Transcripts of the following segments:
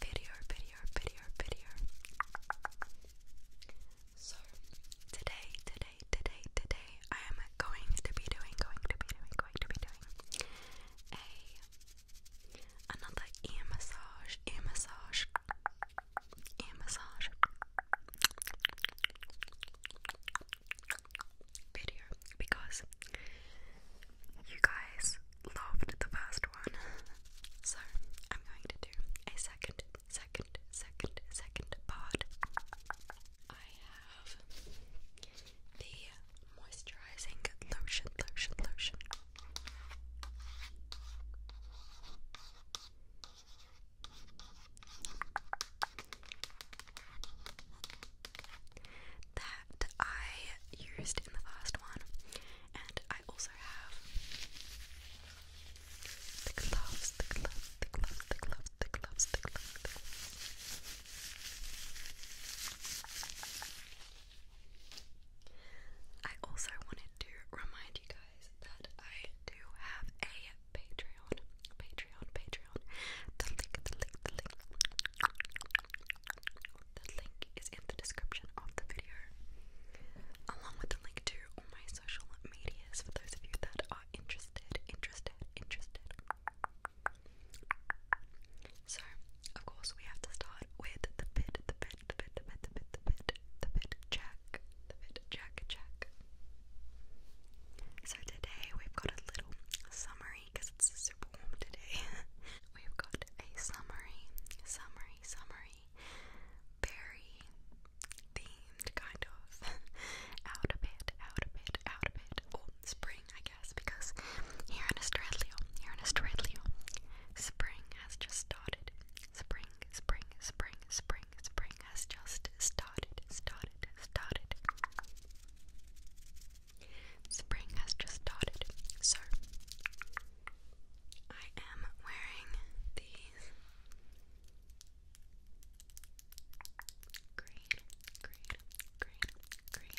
video, video, video, video. So today, today, today, today, I am going to be doing, going to be doing, going to be doing a another ear massage, ear massage, ear massage video because you guys loved the first one, so I'm going to do a second, second, second, second part. I have the moisturizing lotion, lotion, lotion that I used in the first one, and I also have I also wanted to remind you guys that I do have a Patreon, Patreon, Patreon. The link, the link, the link. The link is in the description of the video, along with the link to all my social medias for those of you that are interested, interested, interested. So, of course, we have to start with the bid, the bid, the bid, the bid, the bid, the bid, the bid check, the bid check, check. So today we've got a little summary because it's super warm today. We've got a summary, summary, summary, berry themed kind of out a bit, out a bit, out a bit. Oh, spring, I guess, because here in Australia, here in Australia, spring has just started. Spring, spring, spring, spring, spring has just started, started, started. Spring has just started, so I am wearing these green, green, green, green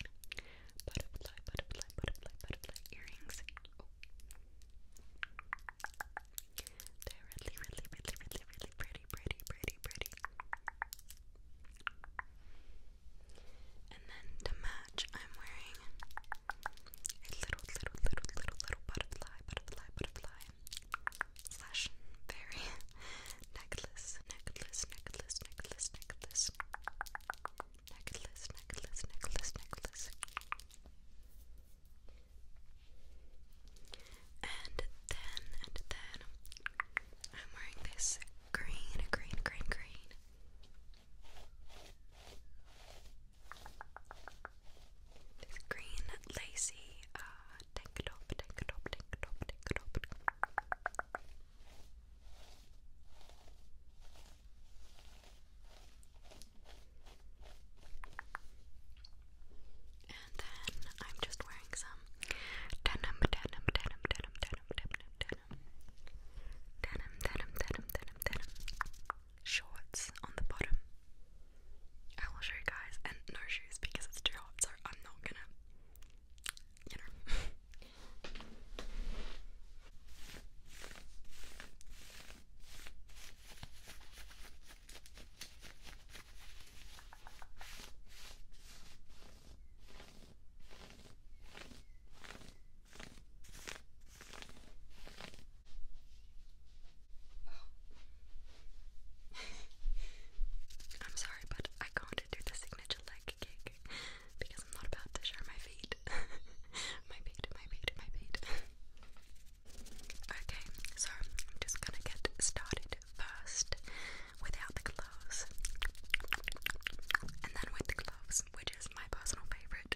butterfly, butterfly, butterfly, butterfly earrings. Oh. They're really, really, really, really, really pretty, pretty, pretty, pretty. And then to match, I'm wearing a little, little, little, little, little butterfly, butterfly, butterfly slash fairy necklace, necklace, necklace, necklace, necklace, necklace, necklace, necklace, necklace. And then, and then, I'm wearing this green, green, green, green. This green lacy uh, tank top, tank top, tank top, tank top. And then I'm just wearing some denim, denim, denim, denim, denim, denim, denim, denim, denim, denim, denim, denim, shorts on the bottom. I will show you guys, and no shoes because it's too hot, so I'm not gonna, you know. Oh. I'm sorry, but I can't do the signature leg kick because I'm not about to show my feet. my feet, my feet, my feet. okay, so I'm just gonna get started first without the gloves, and then with the gloves, which is my personal favorite.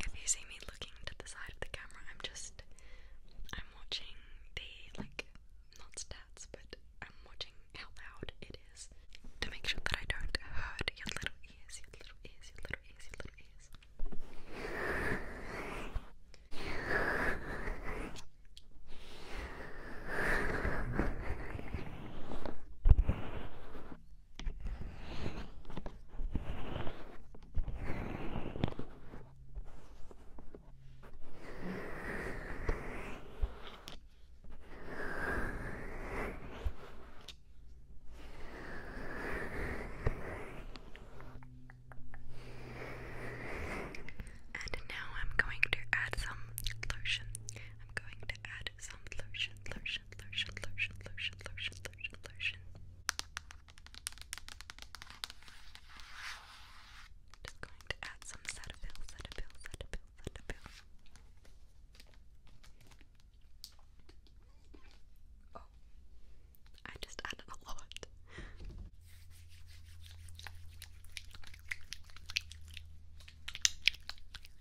If you see me looking to the side of the camera. I'm just I'm watching the like not stats, but I'm watching how loud it is to make sure that I don't hurt your little ears, your little ears, your little ears, your little ears. And now I'm going to add some lotion. I'm going to add some lotion, lotion, lotion, lotion, lotion, lotion, lotion, lotion, lotion. Just going to add some Cetaphil, Cetaphil, Cetaphil, Cetaphil. Oh, I just added a lot.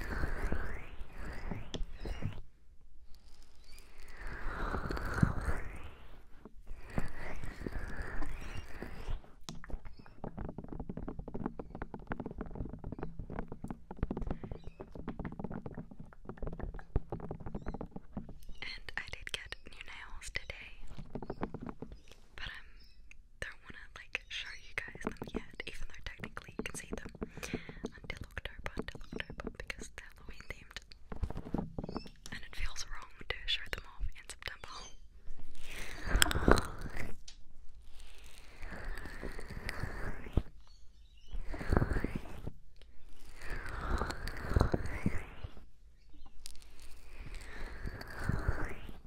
And I did get new nails today, but um, they're one of like show you guys them yet, even though technically you can see them until October, until October, because they're Halloween themed. And it feels wrong to show them off in September.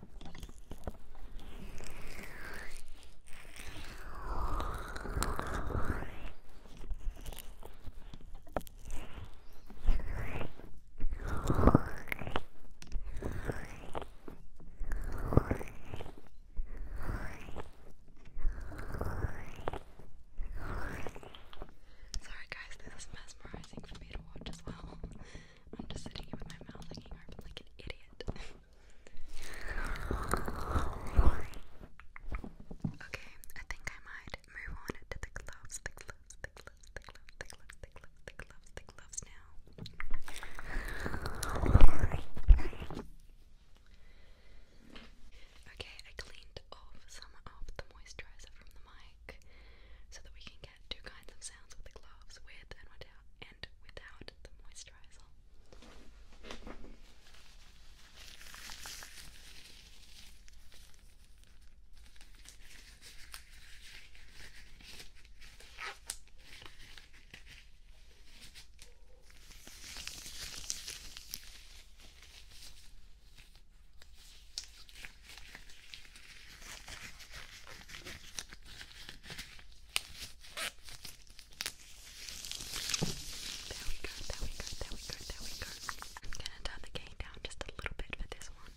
Sorry, guys, this is mesmerizing for me to watch as well. I'm just sitting here with my mouth hanging open like an idiot. Okay, I think I might move on to the gloves, the gloves, the gloves, the gloves, the gloves, the gloves, the gloves, the gloves now. Okay, I cleaned off some of the moisturizer from the mic so that we can get two kinds of sounds with the gloves, with and without, and without the moisturizer. There we go, there we go, there we go, there we go. I'm gonna turn the gain down just a little bit for this one.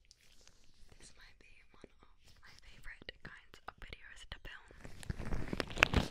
This might be one of my favorite kinds of videos to film.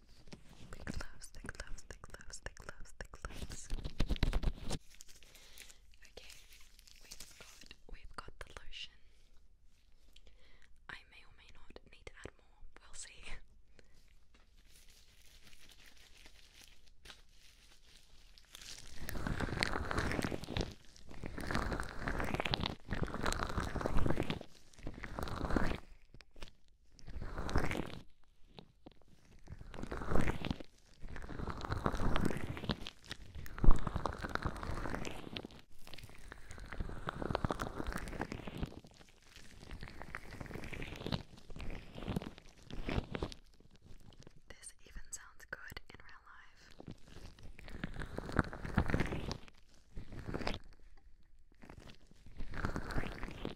Thick gloves, thick gloves, thick gloves, thick gloves, thick gloves. Okay, we've got we've got the lotion. I may or may not need to add more. We'll see. This even sounds good in real life.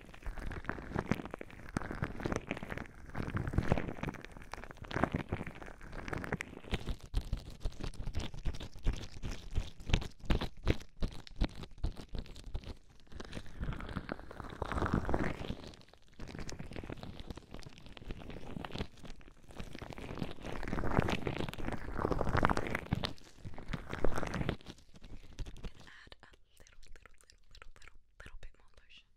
add little, little, little, little, little, little bit more lotion.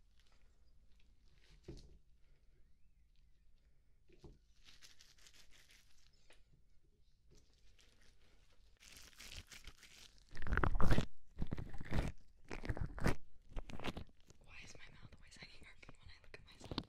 Why is my mouth always hanging open when I look at myself?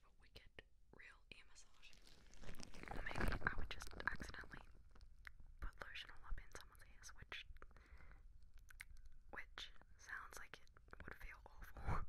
give a wicked real ear massage. maybe I would just accidentally put lotion all up in someone's ears, which which sounds like it would feel awful.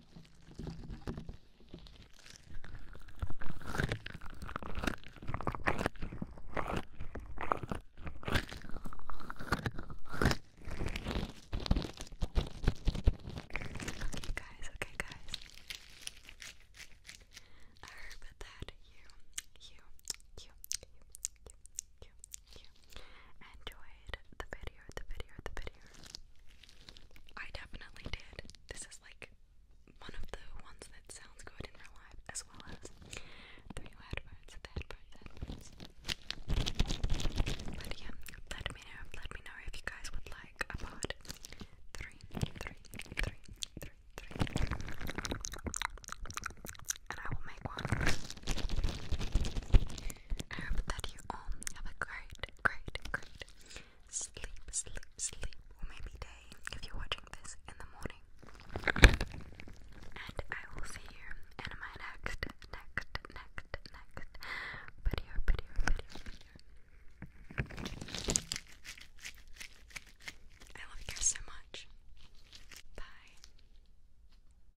Okay, guys, okay, guys. I heard that you, you, you, you, you, you, you enjoyed the video, the video, the video. I definitely did. This is like one of the ones that sounds good in real life, as well as the headphones, the headphones, headphones. let me know, let me know if you guys would like a part three, three, three, three, three. And I will make one. I um, have a great, great, great sleep, sleep, sleep, or maybe day if you're watching this in the morning. And I will see you in my next, next, next, next video, video, video, video. I love you guys so much. Bye.